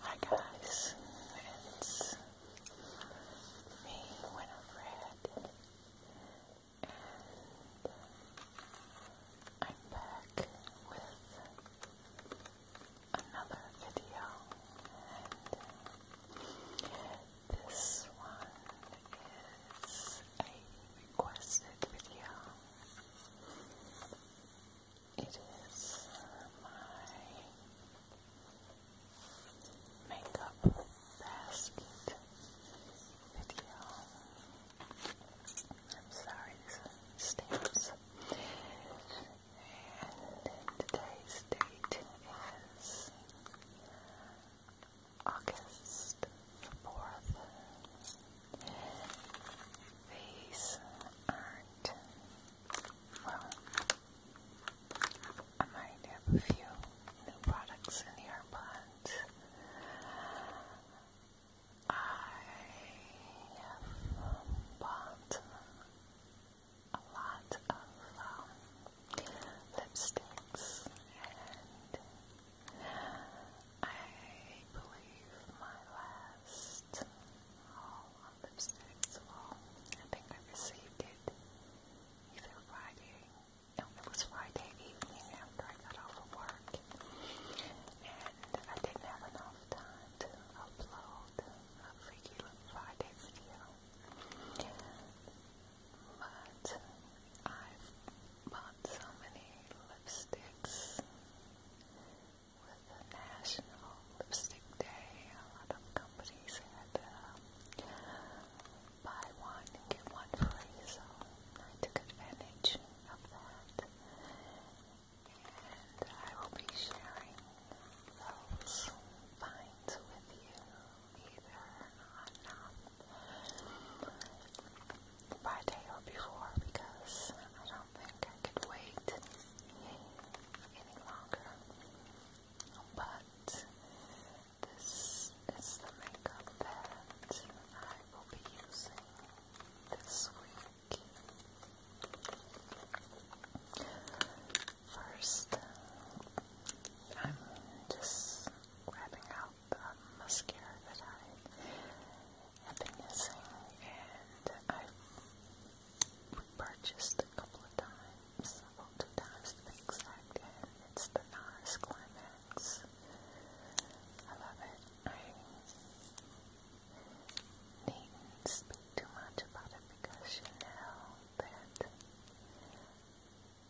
Hi guys, it's me, Winifred, and I'm back with another video, this one is a requested video. It is my makeup basket video. I'm sorry, stamps. And today's date is August 4th. These are well, I might have a few new products in here, but I have bought a lot of um, lipsticks and I believe my last Lipstick's wall. I think I received it either Friday, no, it was Friday evening I got off of work. And I didn't have enough time to upload a Freaky Friday video. But i bought so many lipsticks with the National Lipstick Day, a lot of companies had uh, buy one get one free, so I took advantage of that. And I will be sharing those finds with you either on um, Friday or before because I don't think I could wait any longer. But this is the makeup that I will be using this week. First, I'm just grabbing out the mascara that I have been using, and I we a couple of times, well times to exact, and it's the NARS Climax. I love it. I needn't speak too much about it because you know that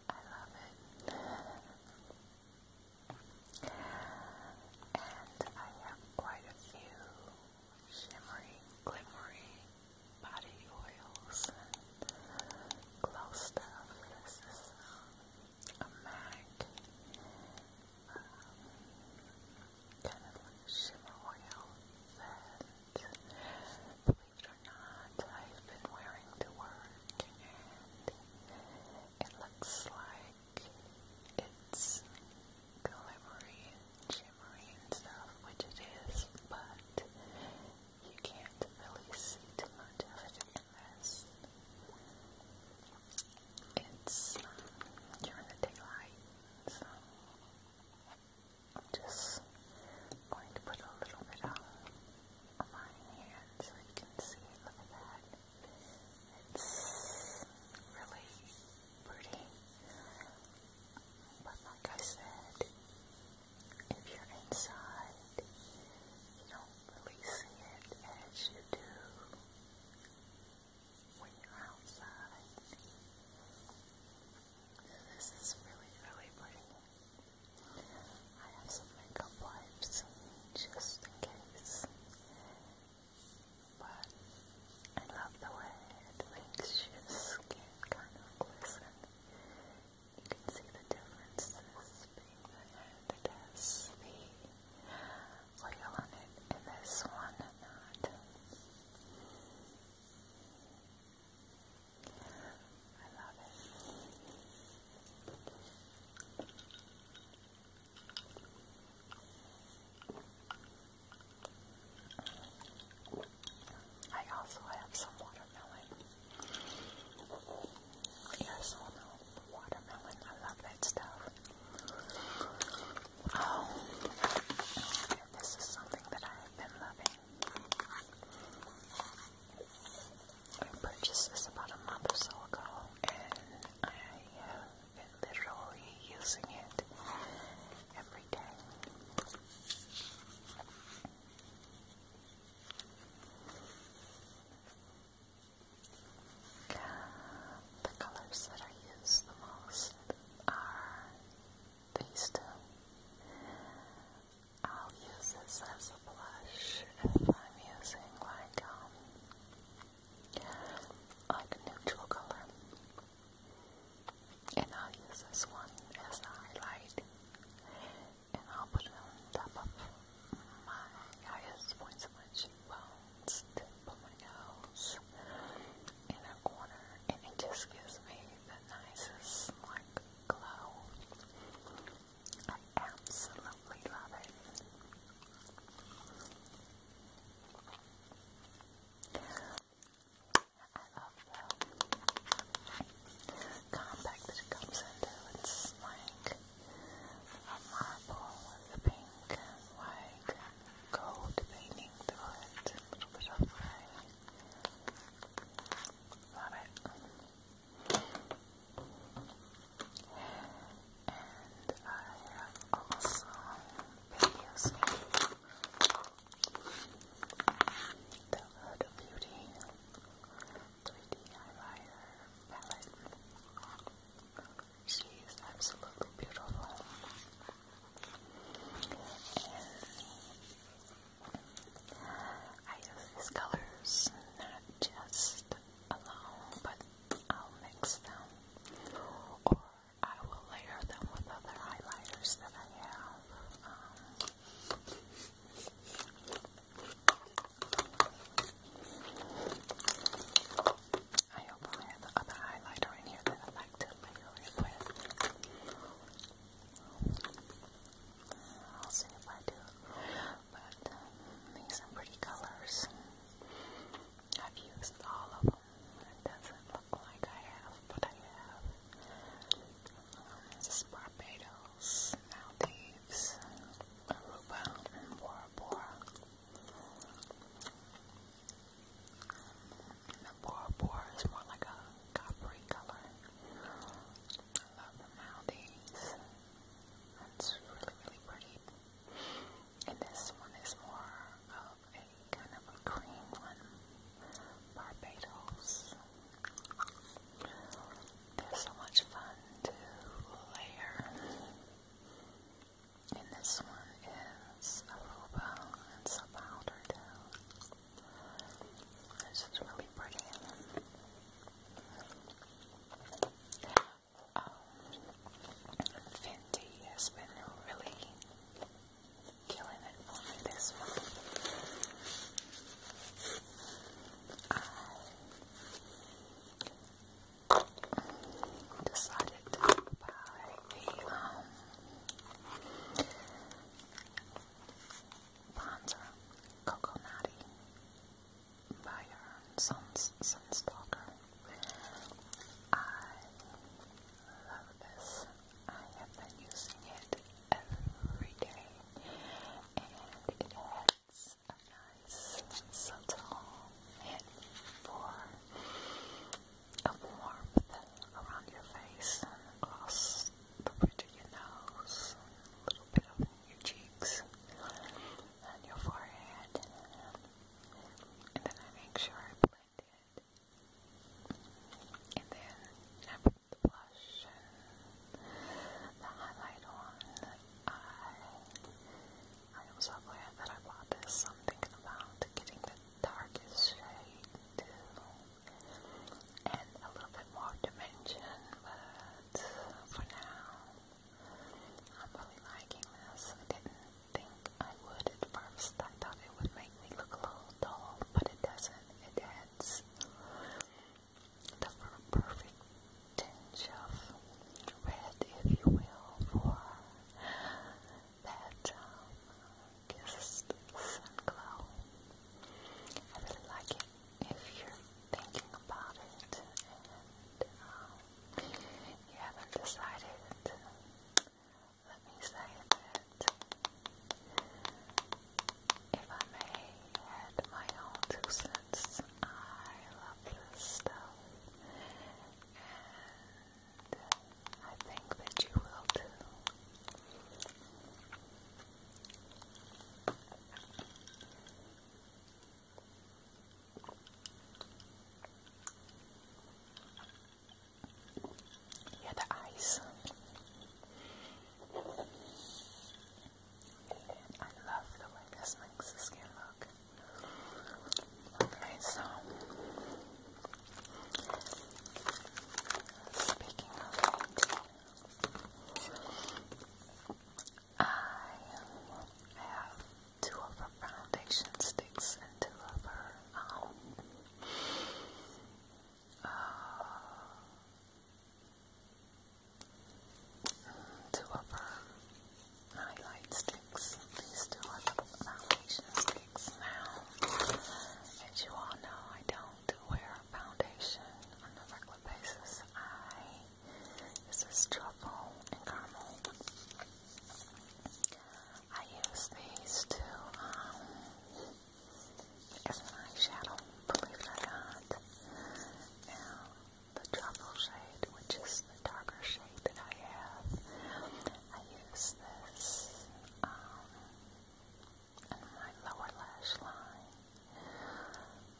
I love it. And I have quite a few shimmery, glimmery body oils glow stuff. This is um, a MAC um, kind of shimmer oil that, believe it or not, I've been wearing to work and it looks like it's glittery and stuff, which it is, but you can't really see too much of it in It's during the daylight, so I'm just going to put a little bit on my hand so you can see. Look at that. It's really pretty. But like I said, if you're inside, you don't really see it as you do when you're outside. This is really, really pretty. I have some makeup wipes just in case. But I love the way it makes your skin kind of glisten. You can see the differences between the end that the oil I love it. I also have some watermelon. Here's watermelon. I love that stuff. Oh, and this is something that I have been loving. I purchased this about a month ago, and I have literally using it every day. The colors that I use the most are these two. I'll use this as a blush if I'm using like um, like a neutral color. And i use this one as a highlight. And I'll put it on top of my highest points of my cheekbones, tip of my nose, in a corner. And it just gives me the nicest, like, glow. I absolutely love it. I love the compact that comes into. It's like a marble with a pink white gold painting through it. Love it and I have also videos of the Beauty 3D eyeliner palette. She is absolutely beautiful. And I use these colors not just alone, but I'll mix them or I will layer them with other highlighters that I have. Um, I hope I have the other highlighter in here that I like to layer it I'll see if I do. But um, these are pretty colors. I've used all of them. It doesn't look like I have, but I have. Um, Barbados, Maldives, Aruba, and Bora Bora. And Bora Bora is more like a coppery color. I love the Maldives. That's really, really pretty. And this one is more of a kind of a cream one. Barbados. They're so much fun to layer. And this one is a Aruba. and some powder too. This is really pretty. Um, has been really killing it for this month. I decided to buy the um, Coco Natty by her Sunstalker. I love this. I have been using it every day, and it a nice subtle hint for a warmth around your face across the bridge of your nose, a little bit on your cheeks on your forehead, and then I make sure I blend it, and then I put the blush and the highlight on. I I am that I bought this. i about getting the darkest shade and a little bit more dimension, but for now. I'm really liking this think I would at first. I thought it would make me look a little dull, but it doesn't. It adds the perfect tinge of red, if you will, for that um, uh, sun glow. I really like it if you're thinking about it um, you haven't decided. Let me say that if I may my own two cents, I love this stuff. And I think that you will too. Yeah, the ice. I love the way this makes the skin look. Okay, so speaking of it, I have two of her foundation sticks and two of her uh, two of her highlight sticks. These two are the foundation sticks now. As you all know, I don't wear foundation on a regular basis. I this is truffle and caramel. I use these to, um, as an eyeshadow, believe it or not. Now, the truffle shade, which is the darker shade that I have, I use this, um, in my lower lash line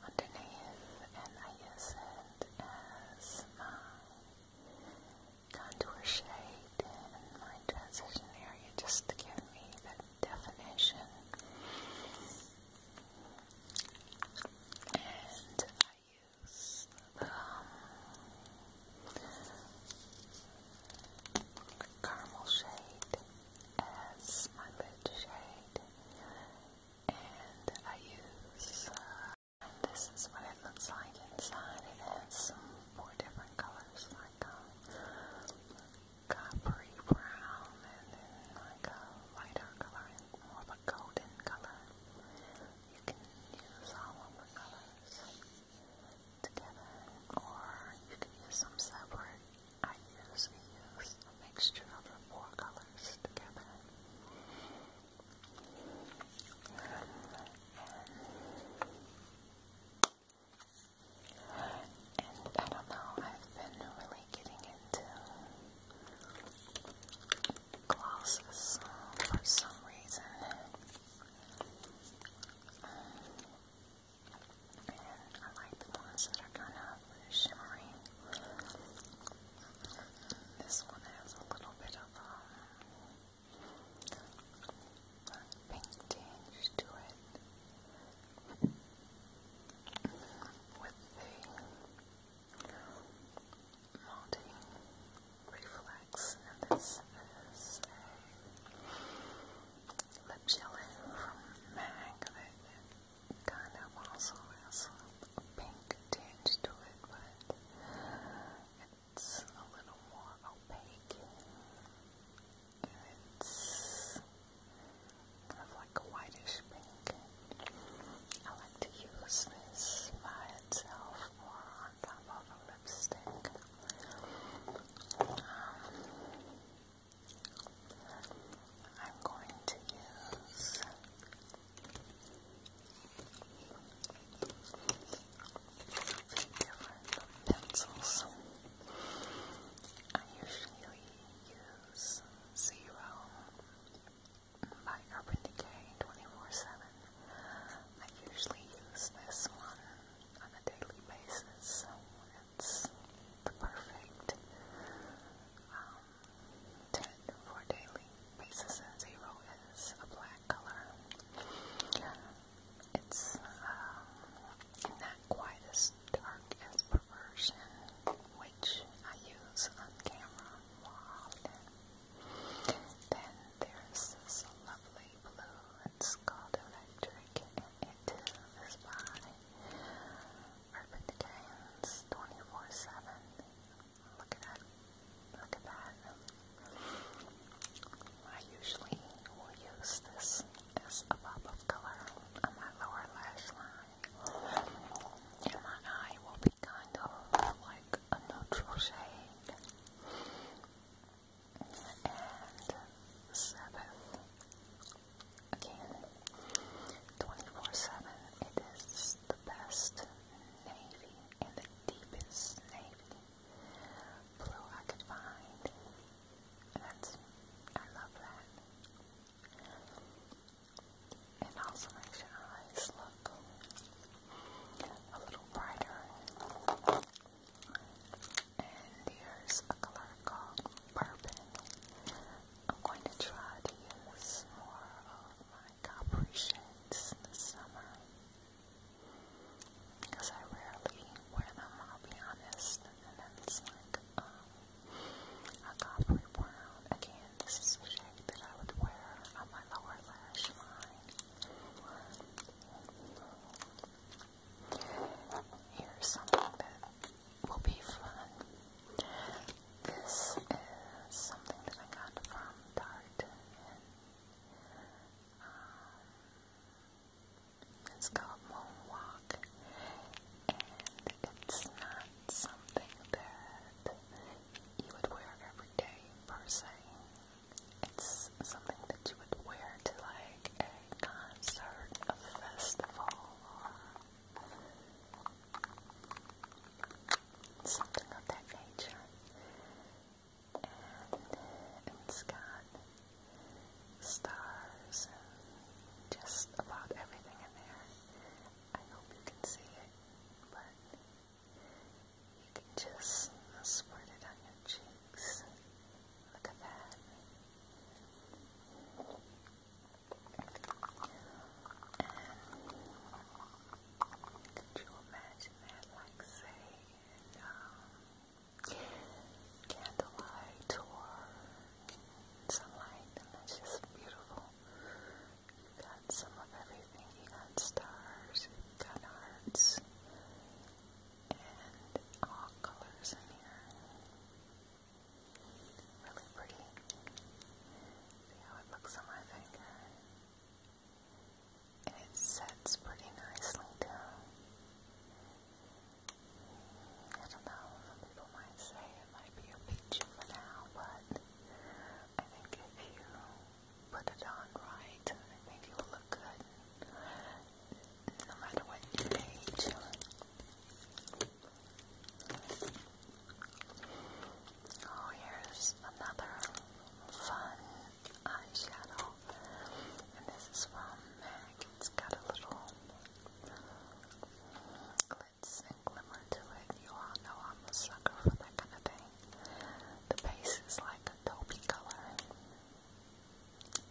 underneath, and I use it as my contour shade in my transition area just to give me the definition. And I use um, caramel shade as my lid shade. And I use uh, this is what it looks like inside. It has some four different colors, like a um, coppery brown, and then like a lighter color, and more of a golden color. You can use all of the colors together, or you can use some separate. I usually use a mixture of the four colors together. And I don't know, I've been really getting into glosses for some reason. and I like the ones that are kind of shimmery. This one has a little bit of a um, pink tinge to it with the malty reflex, and this is a lip jelly from MAC that kind of also has a pink tinge to it, but it's a little more opaque. It's kind of like a whitish pink. I like to use this by itself or on top of a lipstick. Um, I'm going to use different pencils. I usually use Zero by Urban Decay 24-7. I usually use this one on a daily basis. It's the perfect um, 10 for daily basis 0 is a black color. It's um, not quite as dark as Perversion, which I use on camera more often. Then there's this lovely blue, it's called Electric, it is by Urban Decay's 24-7 Look at that. Look at that. I usually will use this as a pop of color on my lower lash line. And my eye will be kind of like a neutral shade. And seventh. Again, 24-7, it is the best navy and the deepest navy blue I could find. That's I love that. And also makes your eyes look a little brighter. And here's a color called bourbon. I'm going to try to use more of my like appreciates in the summer because I rarely wear them, I'll be honest. And then it's like a coppery brown. Again, this is a shade that I would wear on my lower lash line. Here's something that will be fun this is something that I got from Target. Um, it's called Moonwalk, and it's not something that you would wear every day per se. It's something that you would wear to like a concert, a festival, something of that nature. And in the sky, stars, and just about everything in there. I hope you can see it, but you can just squirt it on your cheeks. Look at that. Could you imagine Like, say, um, candlelight tour, sunlight, and that's just beautiful. You got some of everything. You got stars, you got hearts, and all colors in here. Really pretty. See how it looks on my finger and it sets pretty nicely down. I don't know, some people might say it might be a peach for now, but I think if you put it on right, I think it will look good no matter what you age. Oh, here's another fun eyeshadow. And this is from MAC. It's got a little glitz and glimmer to it. You all know I'm a sucker for that kind of thing. The base is like a taupey color.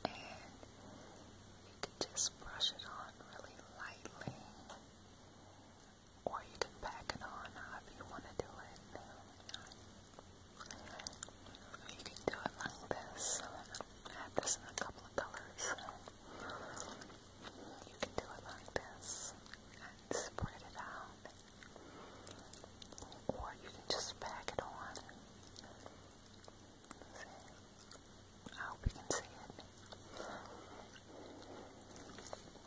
And you can just brush it on really lightly or you can pack it on if you want to do it. You can do it like this. I had this in a couple of colors. You can do it like this and spread it out. Or you can just pack it on. I hope you can see it.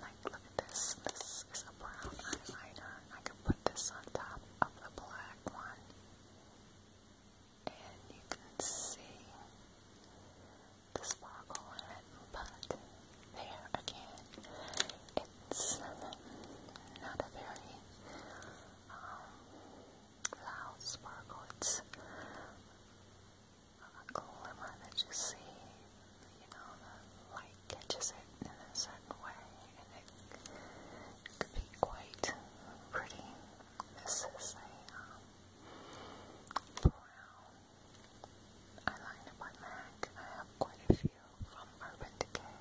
Like, look at this. This is a brown eyeliner. I can put this on top of the black one. And you can see the sparkle But there again, it's not a very um, loud sparkle. It's a glimmer that you see, you know, the light catches it in a certain way, and it could be quite pretty. This is a um, brown eyeliner by MAC. I have quite a few from Urban Decay.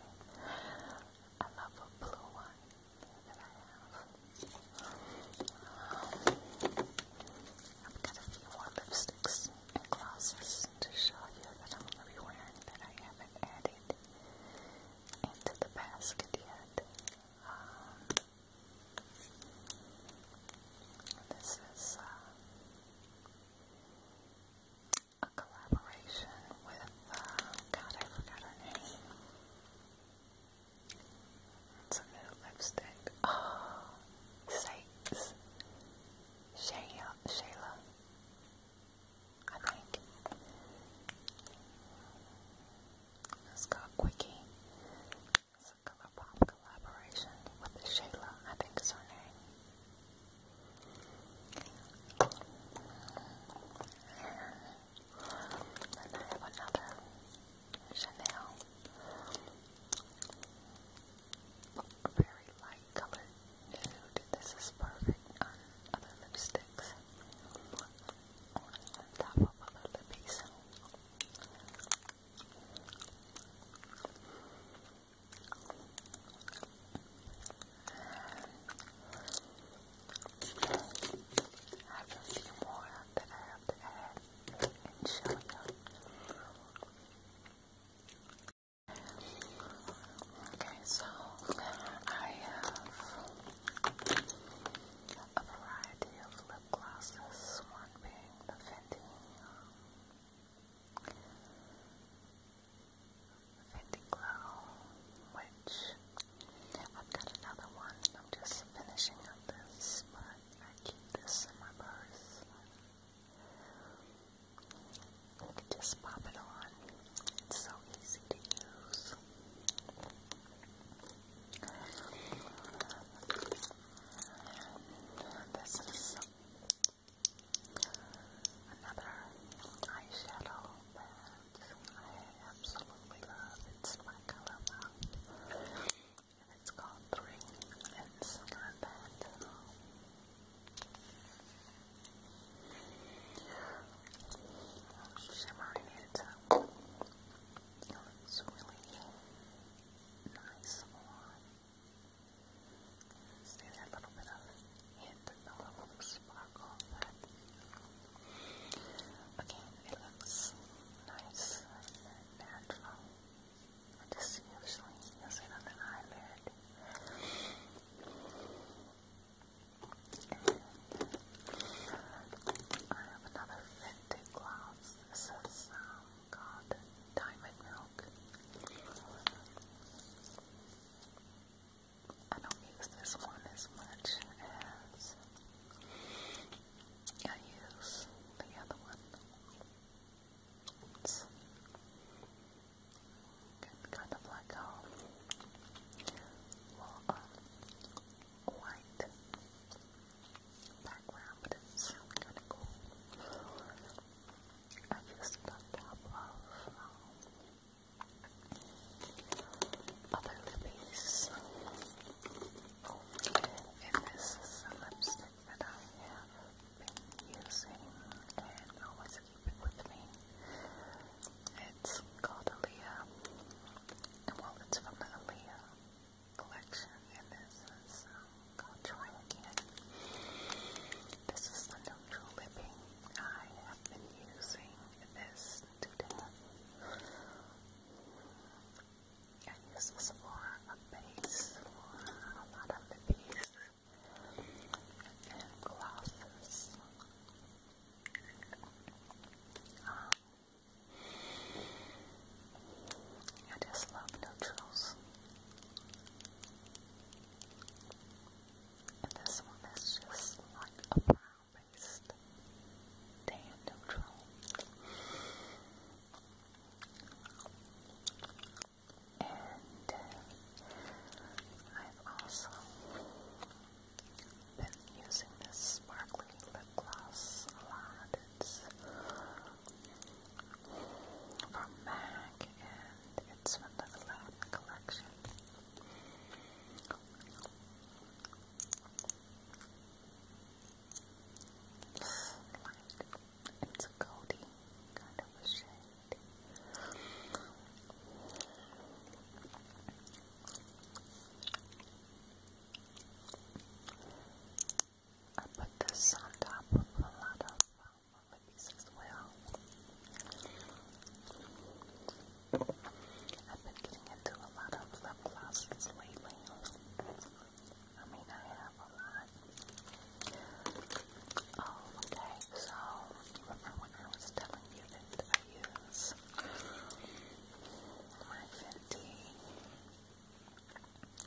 I love a blue one that I have. Um, I've got a few more lipsticks glosses to show you that I'm going to be wearing that I haven't added into the basket yet. Um, this is uh, a collaboration with, uh, God, I forgot her name. It's a new lipstick. Oh, sakes. Shayla, Shayla, I think. It's got It's a color pop collaboration with Shayla, I think is her name. And I have another Chanel very light colored nude. This is perfect on other lipsticks. On top of other lippies. I have a few more that I have to show you. Okay, so I have a variety of lip one being the Fenty, Fenty Glow, which I've got another one. I'm just finishing up this, but I keep this in my purse. Just pop it on. It's so easy to use. And this is another eyeshadow that I absolutely love. It's my color And it's called Three. It's not shimmering it up. It looks really nice on. See that little bit of hint, a sparkle. again, it looks nice and natural. It just usually is it on the eyelid. I have another Fenty gloss. This is um, called Diamond Milk. I don't use this one as much as I use the other one. It's kind of like a well, uh, white background, I just got top of um, other lippies. Oh, and this lipstick that I have been using and always keep with me. It's called Aaliyah. Well, it's from the Aaliyah collection, and this is um, called Try Again. This is the neutral I have been using this to I use this for a base for a lot of the pieces and glasses. Um, I just love neutrals. this one is just like a brown based tan neutral. And uh, I've also been using this sparkly lip gloss a lot. from MAC and it's from the Aladdin collection. It's a goldy kind of shade. I put this on top of a lot of um, as well. I've been getting into a lot of lip glosses lately. I mean, I have a lot. Oh, okay. So, remember when I was telling you that use my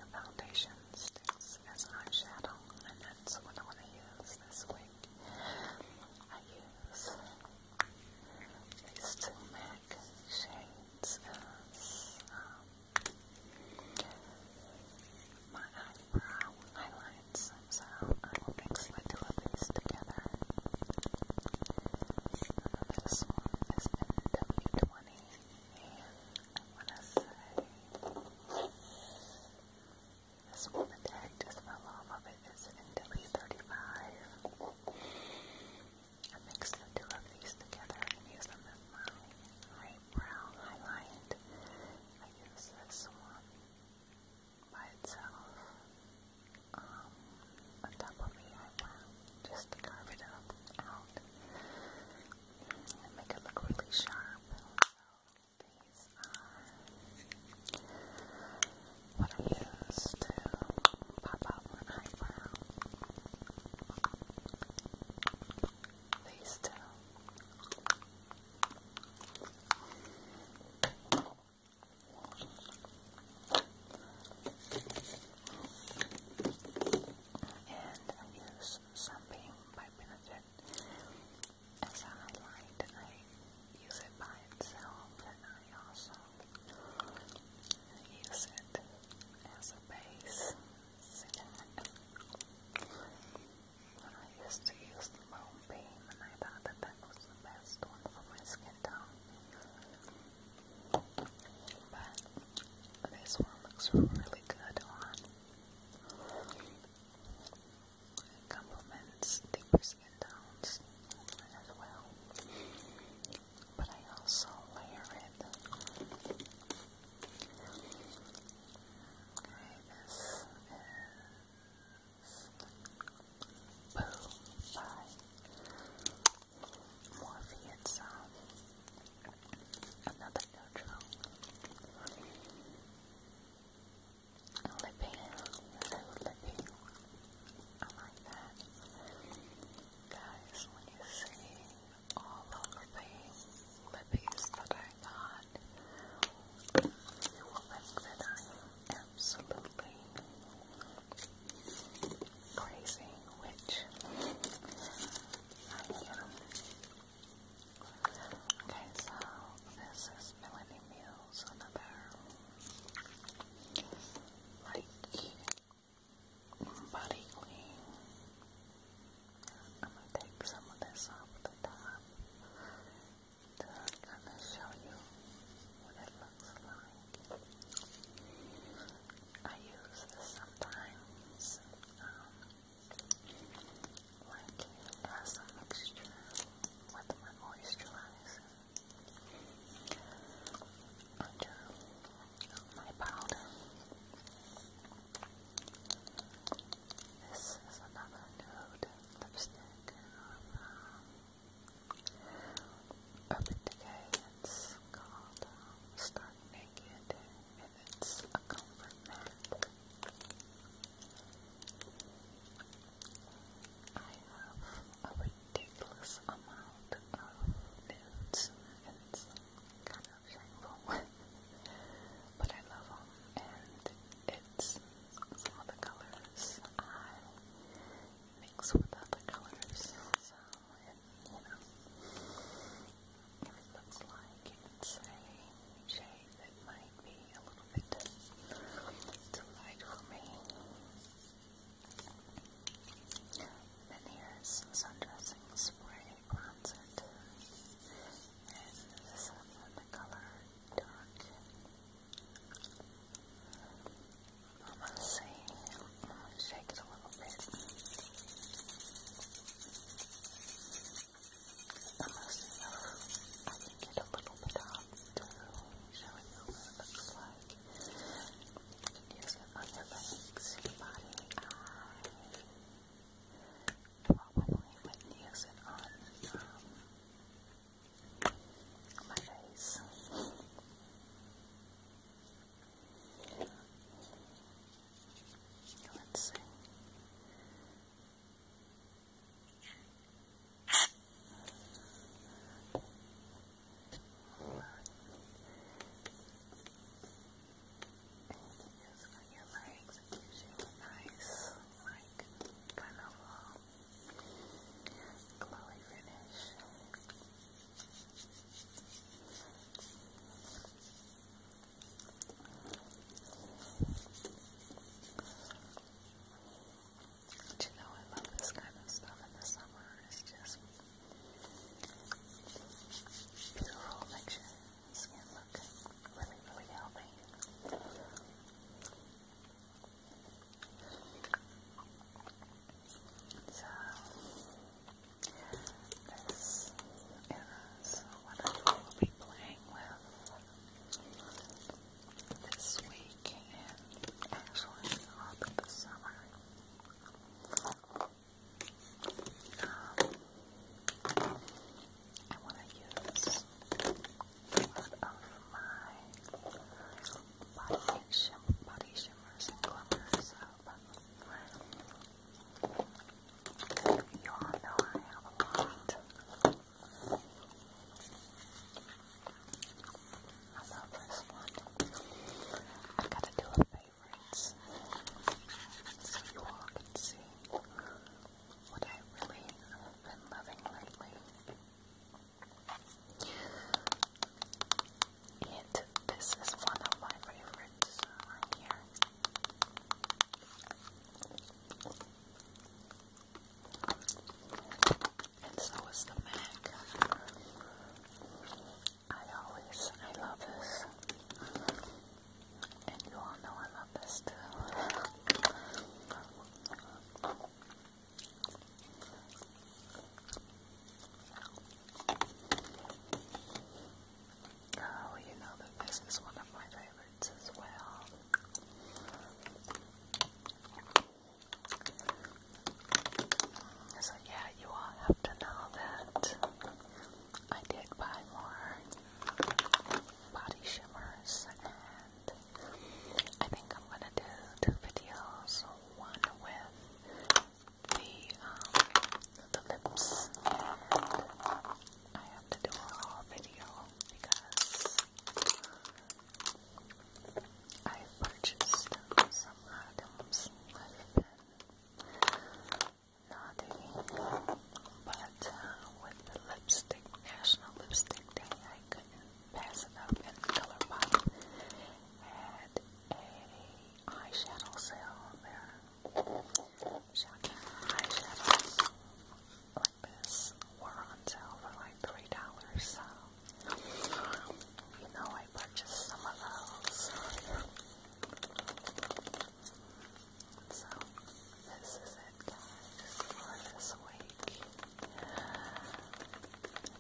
foundation sticks as eyeshadow, and that's what I want to use this week. I use these two MAC shades um, my eyebrow highlights, so I will mix the two of these together. This one is NW20, and I want to say this one, the tag just fell off of it, is NW35. I mix the two of these together and use them as my brown highlight. I use this one by itself um, on top of the eyebrow just to carve it up and make it look really sharp. So these are what I use to pop out my eyebrow. These two. And I use something by Benefit as a highlight. I use it by itself, and I also use it as a base when I used to use the foam and I thought that that was the best one for my skin tone. But this one looks really good on. It complements deeper skin tones as well. But I also layer it this is Boo by Morpheus. Another neutral. Lipping, so lipping. I like that. Guys, when you see all of the lippies that I got. You will think that I'm absolutely crazy, which I am. Okay, so this is Melanie Mills, another like body clean I'm going to take some of this off the top to kind of show you what it looks like. I use this sometimes like as a mixture with my moisturizer. I my powder. This is another nude lipstick from um, Urban Decay. It's called um, Start Naked, and it's a comfort matte. I have a ridiculous amount of nudes, and of but I love them, and it's some the colors I mix with other colors, so it, you know, if it looks like it's a shade that might be a little bit too light for me. Then here's sundressing spray bronzer too. And the color dark. I'm gonna see. i a little bit. I'm gonna see if I can get a little bit off to show you what it looks like. You can use it on your legs, your body, probably wouldn't use it on um, my face. Let's see. All right. And just put your legs, it gives nice, like, kind of a glowy finish. you know, I love this kind of stuff in the summer. It's just beautiful, makes you skin look really, really healthy. So, this is what I will be playing with this week and actually all through the summer. Um, I want to use one of my body, shim body shimmers and glimmers. Um, you all know I have a lot. I love this one. i got to do a face favorites so you all can see what I really been loving lately. And this is one of my favorites right here. And so is the Mac. I always, I love this. And you all know I love this too. Oh, you know that this is one of my favorites as well. So yeah, you all have to know that I did buy more body shimmers and I think I'm gonna do two videos, one with the um, the lips and I have to do a haul video because I purchased some items naughty, but uh, with the lipstick, National Lipstick Day, I couldn't pass it up in ColourPop. Had a eyeshadow sale there. Shocking eyeshadows like this were on sale for like three dollars. So you know I purchased some of those. So, this is it, guys, for this week.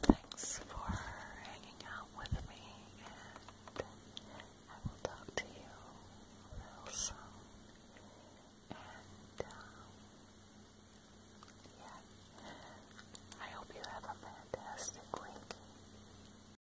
Thanks for hanging out with me, and I will talk to you real soon. And, um, yeah, I hope you have a fantastic week.